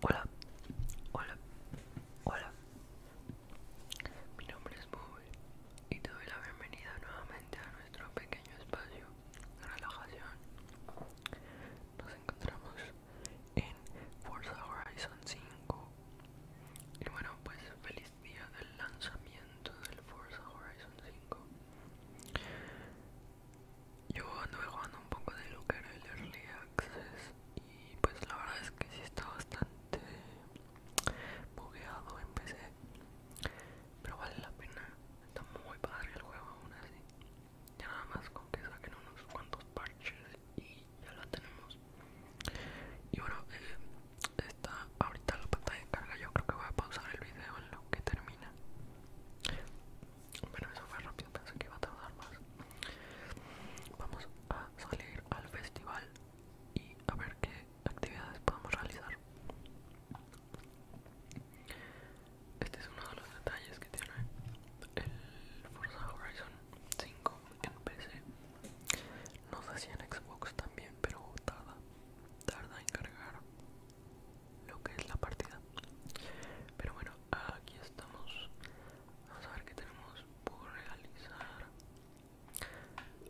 Hola, hola, hola. Mi nombre es Bobby y te doy la bienvenida nuevamente a nuestro pequeño espacio de relajación. Nos encontramos en Forza Horizon 5. Y bueno, pues feliz día del lanzamiento del Forza Horizon 5 yo ando jugando un poco de lo que era el Early Access y pues la verdad es que sí está bastante bugueado en PC pero vale la pena está muy padre el juego aún así ya nada más con que saquen unos cuantos parches y ya lo tenemos y bueno eh, está ahorita la pantalla de carga yo creo que voy a pausar el video en lo que termina bueno, eso fue rápido, pensé que iba a tardar más. Vamos a salir al festival y a ver qué actividades podemos realizar. Este es uno de los detalles que tiene el Forza Horizon 5 en PC. No sé si en Xbox también, pero tarda, tarda en cargar lo que es la partida. Pero bueno, aquí estamos vamos a ver qué tenemos por realizar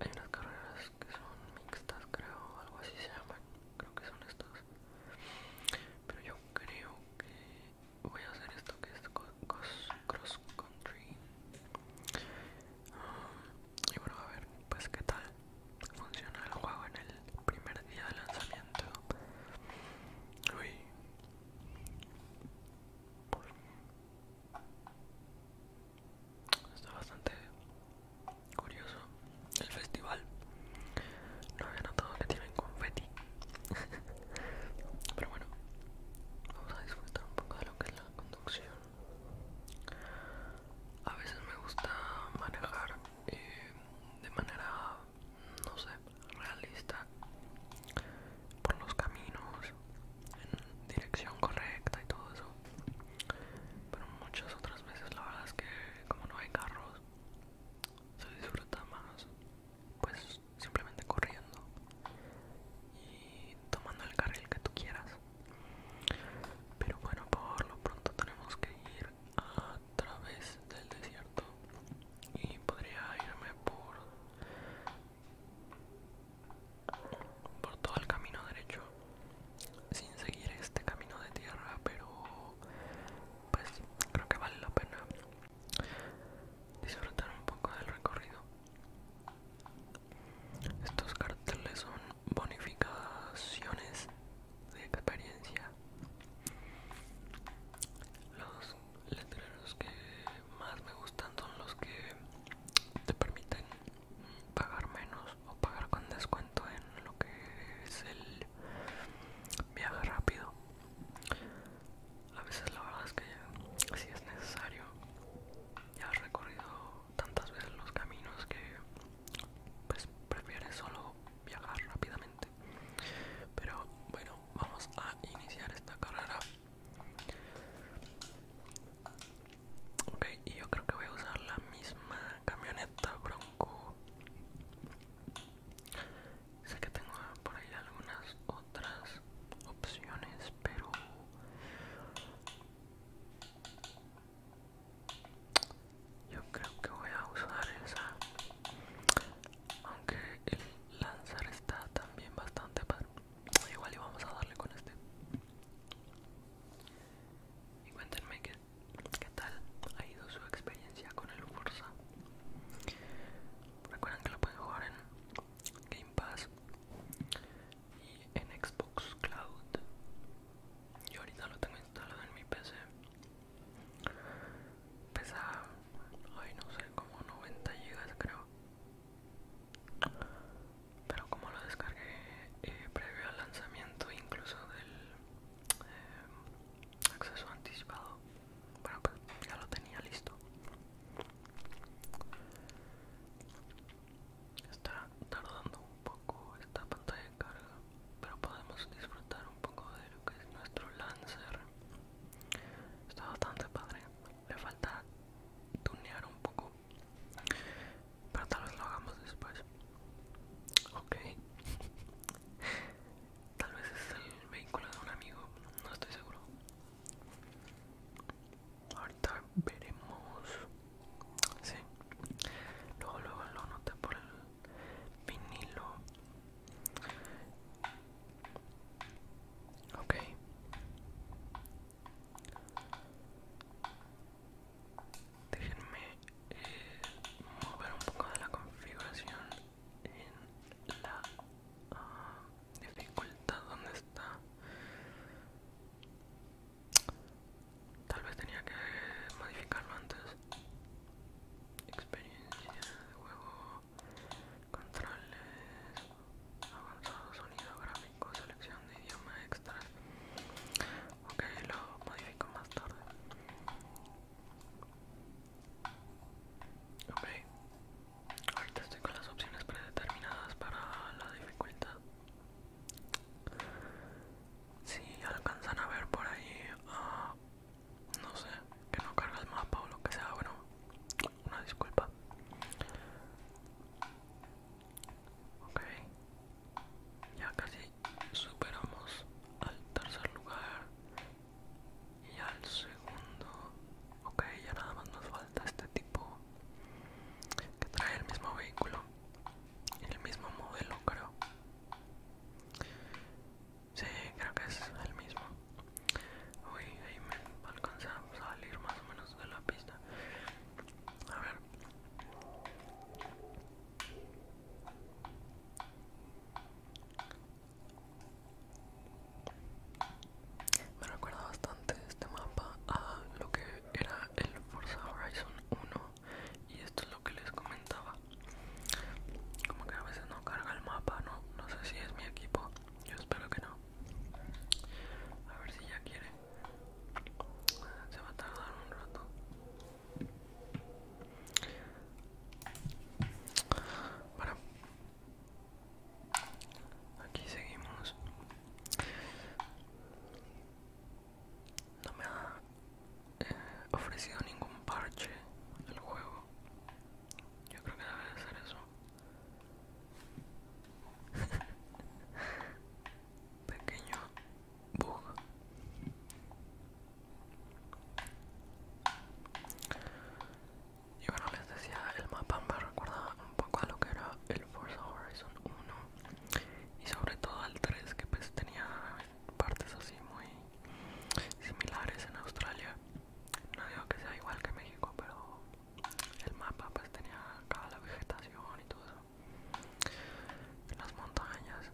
hay unas carreras que son mixtas creo algo así se llaman creo que son estas pero yo creo que voy a hacer esto que es cross country um, y bueno a ver pues qué tal funciona el juego en el primer día de lanzamiento Uy. Está bastante curioso el festival. No había notado que tienen confeti. Pero bueno, vamos a disfrutar un poco de lo que es la conducción. A veces me gusta manejar eh, de manera no sé, realista por los caminos en dirección correcta y todo eso. Pero muchas otras veces la verdad es que como no hay carros, se disfruta más pues simplemente corriendo y tomando el carril que tú quieras. Pero bueno, por lo pronto tenemos que ir a través del desierto y podría irme por por todo el camino derecho sin seguir este camino de tierra pero pues creo que vale la pena disfrutar un poco del recorrido estos carteles son bonificaciones de experiencia los letreros que más me gustan son los que te permiten pagar menos o pagar con descuento en lo que es el viaje rápido a veces la verdad es que si es necesario ya has recorrido tantas veces los caminos que pues prefieres solo viajar rápidamente pero bueno vamos a iniciar esta carrera ok y yo creo que voy a usar la misma camioneta bronco sé que tengo por ahí algunas otras opciones pero yo creo que voy a usar esa aunque el lanzar está también bastante padre. Igual y vamos a darle con este. Y cuéntenme qué, tal ha ido su experiencia con el Forza. Recuerden que lo pueden jugar en Game Pass y en Xbox Cloud. Yo ahorita lo tengo instalado en mi PC Pesa, hoy no sé, como 90 GB creo. Pero como lo descargué eh, previo al lanzamiento incluso del eh, acceso anticipado, bueno pues ya lo tenía listo. Está tardando un poco esta pantalla de carga pero podemos disfrutar un poco de lo que es nuestro Lancer. Está bastante padre, le falta tunear un poco, pero tal vez lo hagamos después. Ok, tal vez es el vehículo de un amigo, no estoy seguro. Ahorita veremos. Sí, luego, luego lo noté por el vinilo Ok. Déjenme eh, mover un poco de la configuración en la ah, dificultad donde está. Tal vez tenía que modificarlo antes experiencia de juego, controles, avanzado sonido gráfico, selección de idioma extra Ok, lo modifico más tarde. Ok, ahorita estoy con las opciones predeterminadas para la dificultad. Si alcanzan a ver por ahí, a ah, no sé, que no carga el mapa o lo que sea, bueno, una disculpa. Ok, ya casi superamos al tercer lugar y al segundo. Ok, ya nada más nos falta este tipo que trae el mismo vehículo, y el mismo modelo creo. Sí, creo que es el mismo. Uy, ahí me alcanza a salir más o menos de la pista. A ver. Me recuerda bastante este mapa a lo que era el Forza Horizon 1 y esto es lo que les comentaba como que a veces no carga el mapa, no, no sé si es mi equipo. Yo espero que no. A ver si ya quiere. Se va a tardar un rato. Bueno, aquí seguimos. No me ha ofrecido ningún parche al juego. Yo creo que debe de ser eso. Pequeño bug. Y bueno, les decía, el mapa me recuerda un poco a lo que era el Forza Horizon 1 y sobre todo al 3 que pues tenía partes así muy similares en Australia. No digo que sea igual que México, pero el mapa pues tenía acá la vegetación y todo eso. Las montañas.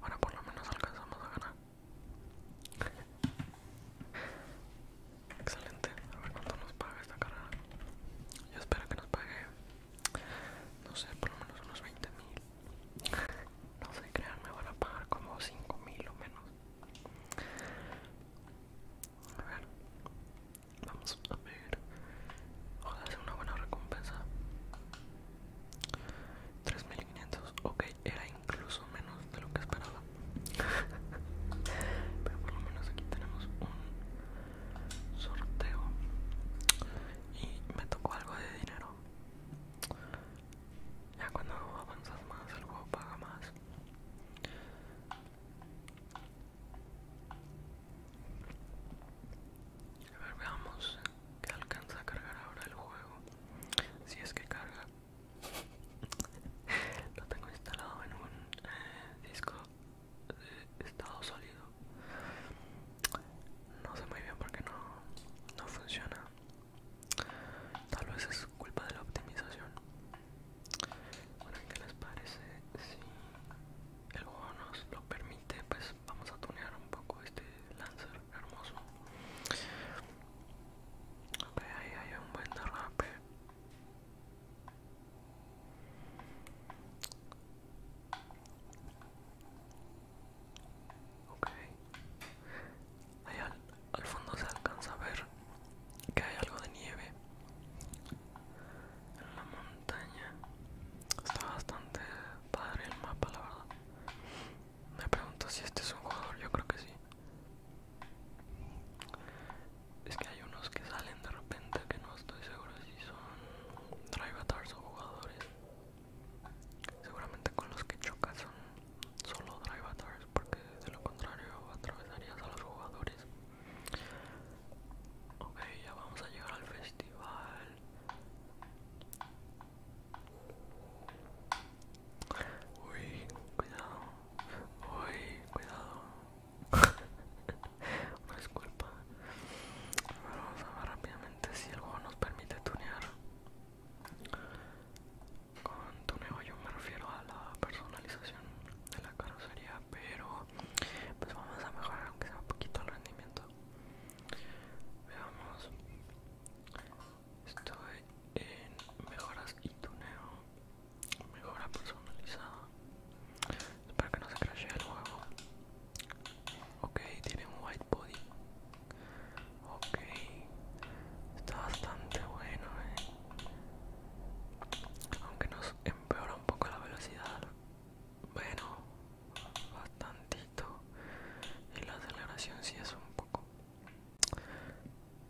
Bueno, por lo menos alcanzamos a ganar. Excelente, a ver cuánto nos paga esta carrera. Yo espero que nos pague, no sé, por lo menos unos 20 mil no sé, crean, me van a pagar como 5 mil o menos. A ver, vamos a ver. O sea una buena recompensa. 3500, ok, era incluso menos de lo que esperaba. Pero por lo menos aquí tenemos un sorteo. Y me tocó algo de dinero. Ya cuando avanzas más, el juego paga más. A ver, veamos que alcanza a cargar ahora el juego. Si es que carga. Lo tengo instalado en un eh, disco de estado sólido. No sé muy bien porque no, no funciona. Tal vez es culpa de la optimización. Bueno, ¿qué les parece? Si el juego nos lo permite, pues vamos a tunear un poco este Lancer hermoso. Ok, ahí hay un buen derrape. Ok. Ahí al, fondo se alcanza a ver que hay algo de nieve en la montaña. Está bastante padre el mapa, la verdad. Me pregunto si este es un jugador, yo creo que sí. Es que hay unos que salen de repente que no estoy seguro si son drivatars o jugadores. Seguramente con los que chocas son solo drive porque de lo contrario atravesarías a los jugadores. Ok, ya vamos a llegar al festival. Uy, cuidado. Uy, cuidado. no es culpa. Vamos a ver rápidamente si el juego nos permite tunear. Con tuneo yo me refiero a la personalización de la carrocería, pero pues vamos a mejorar aunque sea un poquito el rendimiento. Veamos. Estoy en mejoras y tuneo. Mejora personalizada. Espero que no se crashe el juego. Ok, tiene un white body. Ok, está bastante bueno, eh. Aunque nos empeora un poco la velocidad. Bueno, bastantito. Y la aceleración si es un poco.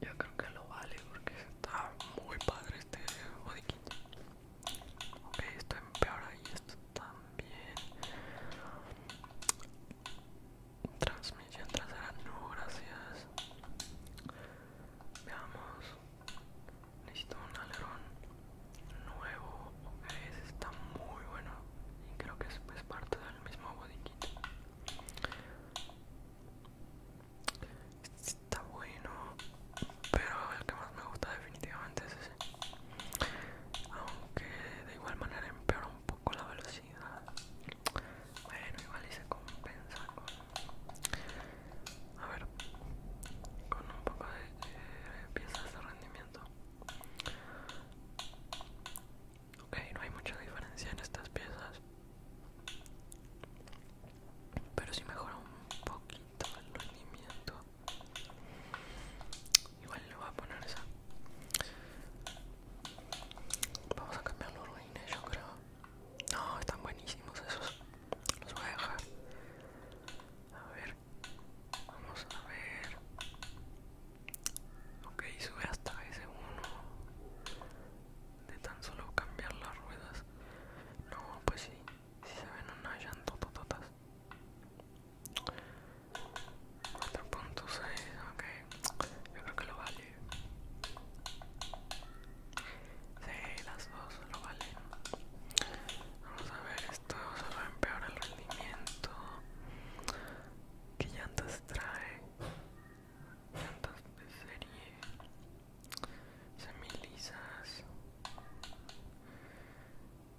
Yo creo que lo vale porque está muy padre este body kit. Ok, esto empeora y esto también transmisión trasera no gracias veamos necesito un alerón nuevo ese está muy bueno y creo que es parte del mismo botiquito este está bueno pero el que más me gusta definitivamente es ese aunque de igual manera empeora un poco la velocidad bueno igual y se compensa con a ver con un poco de piezas de rendimiento ok no hay mucha diferencia en estas piezas pero si mejora un poquito el rendimiento igual le voy a poner esa Vamos a cambiar los ruines, yo creo. No, están buenísimos esos. Los voy a ver. Vamos a ver. Ok, sube hasta ese uno De tan solo cambiar las ruedas. No, pues sí. Si se ven unas llantotototas. 4.6, ok. Yo creo que lo vale. Sí, las dos lo vale Vamos a ver, esto se va a empeorar el rendimiento. ¿Qué llantas trae? Llantas de serie. Semilisas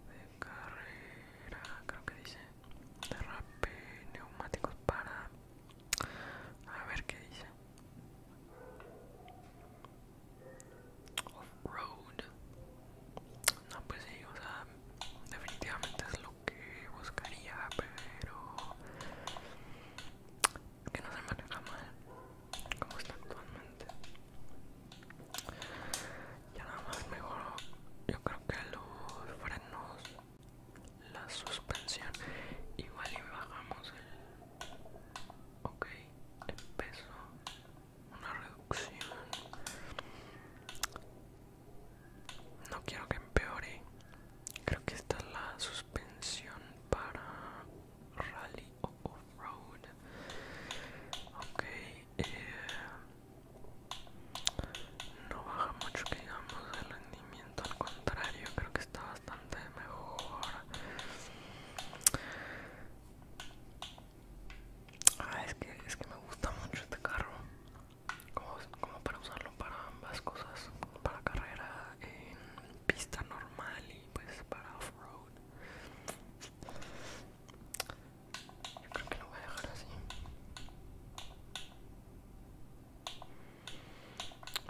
de carrera, creo que dice derrape neumáticos para a ver qué dice off road no pues sí o sea definitivamente es lo que buscaría pero que no se maneja mal como está actualmente ya nada más mejor yo creo que los frenos la suspensión igual y bajamos el ok el peso una reducción no quiero que empeore creo que esta es la suspensión para rally o off road ok eh, no baja mucho que digamos el rendimiento al contrario creo que está bastante mejor ah, es que es que me gusta mucho este carro como, para usarlo para ambas cosas para carrera en pista normal y pues para off-road yo creo que lo voy a dejar así.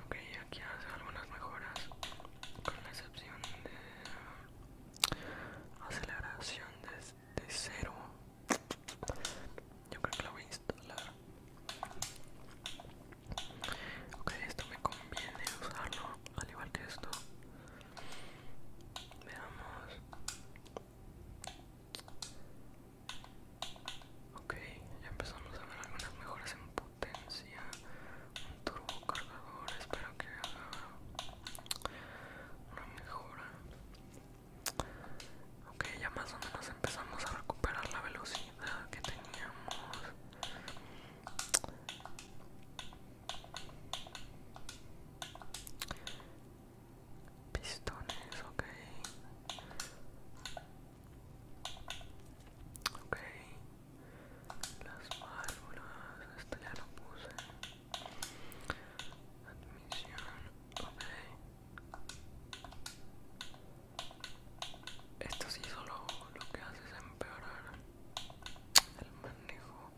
Ok, aquí hace algunas mejoras con la excepción de aceleración desde cero. Yo creo que lo voy a instalar. Ok, esto me conviene usarlo al igual que esto. Veamos. Ok, ya empezamos a ver algunas mejoras en potencia. Un turbo cargador, espero que haga una mejora. Ok, ya más o menos empezamos a recuperar la velocidad que teníamos. Pistones, ok. okay, Las válvulas, esto ya lo puse. Admisión, ok. Esto sí solo lo que hace es empeorar el manejo.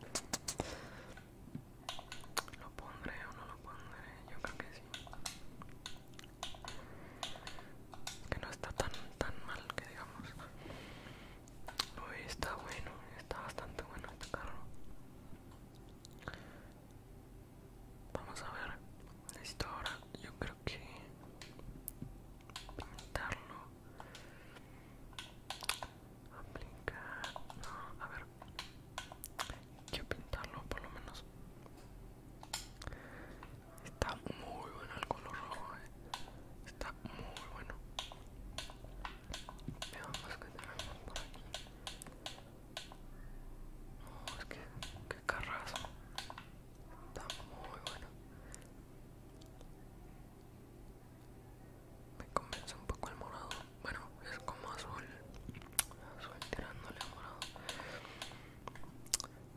¿Lo pondré o no lo pondré? Yo creo que sí. Que no está tan tan mal que digamos. hoy está bueno, está bastante bueno este carro. Vamos a ver. Necesito ahora, yo creo que pintarlo aplicar no, a ver quiero pintarlo por lo menos está muy bueno el color rojo eh. está muy bueno veamos que tenemos por aquí no, oh, es que, que carrazo está muy bueno me convence un poco el morado bueno es como azul azul tirándole a morado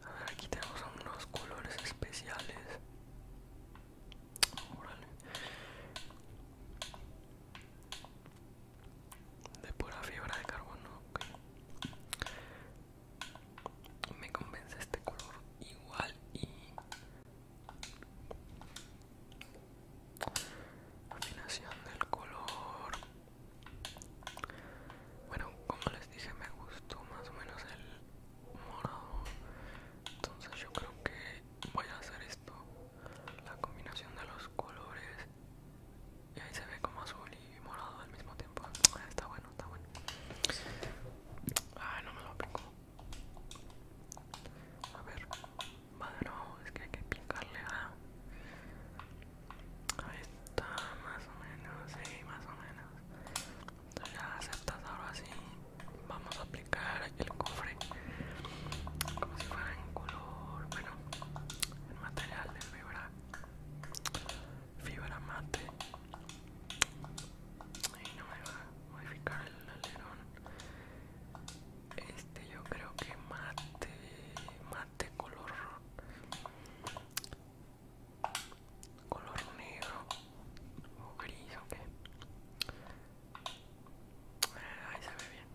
a ver aquí tenemos unos colores especiales Órale. de pura fibra de carbono me convence este color igual y Combinación del color. Bueno, como les dije, me gustó más o menos el morado. Entonces yo creo que voy a hacer esto. La combinación de los colores. Y ahí se ve como azul y morado al mismo tiempo. Está bueno, está bueno. Ay, ah, no me lo aplico. A ver, bueno, es que hay que picarle a... Ahí está, más o menos, sí, más o menos. Entonces ya aceptas ahora sí. Vamos a aplicar el cofre como si fuera en color, bueno, el material de fibra, fibra mate. Y no me va a modificar el alerón este yo creo que mate mate color color negro o gris o ahí se ve bien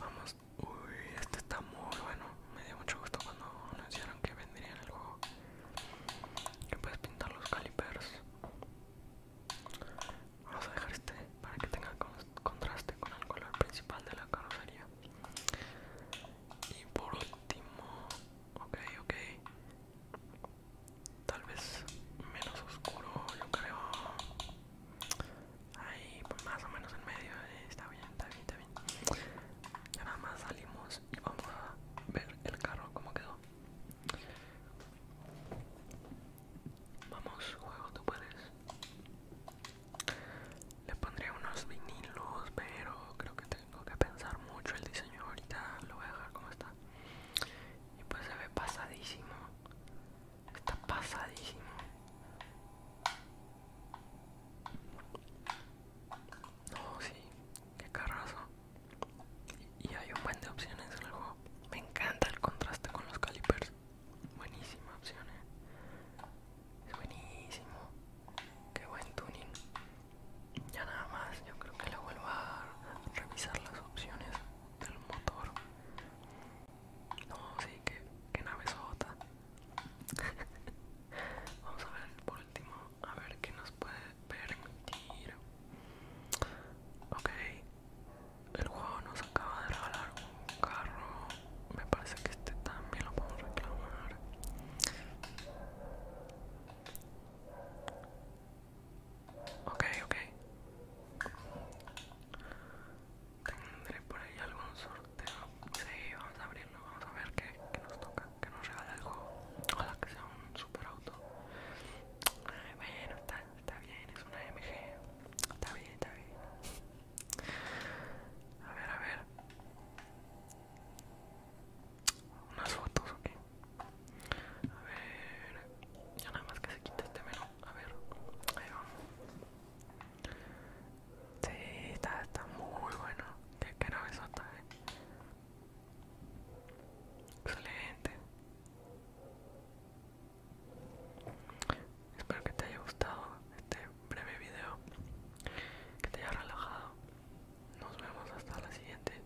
vamos uy este está muy bueno me dio mucho gusto cuando anunciaron que vendría en el juego que puedes pintar los calipers Vamos a dejar este para que tenga contraste con el color principal de la carrocería. Y por último, ok, ok. Tal vez menos oscuro, yo creo. Ahí, pues, más o menos en medio. Eh, está bien, está bien, está bien. nada más salimos y vamos a ver el carro cómo quedó. Vamos, juego, tú puedes. Le pondré unos vinilos, pero creo que tengo que pensar mucho el diseño ahorita. Lo voy a dejar como está. Y pues se ve pasadísimo. Está pasadísimo. No, sí, qué carrazo. Y hay un buen de opciones en el juego. Me encanta el contraste con los calipers. Buenísima opción, eh. Es buenísimo. Qué buen tuning. Ya nada más, yo creo que le vuelvo a revisar las opciones del motor. No, sí, que, nave sota. Vamos a ver por último, a ver qué nos puede permitir. Ok, el juego nos acaba de regalar un carro me parece que este también lo podemos reclamar ok ok tendré por ahí algún sorteo sí vamos a abrirlo vamos a ver qué, nos toca que nos regala el juego ojalá que sea un super auto bueno, está, está bien, es una MG. Está bien, está bien. A ver, a ver. Unas fotos, ok. A ver. Ya nada más que se quita este menú. A ver. Ahí vamos. Sí, está, muy bueno. Qué, qué besota eh. Excelente. Espero que te haya gustado este breve video, que te haya relajado. Nos vemos hasta la siguiente.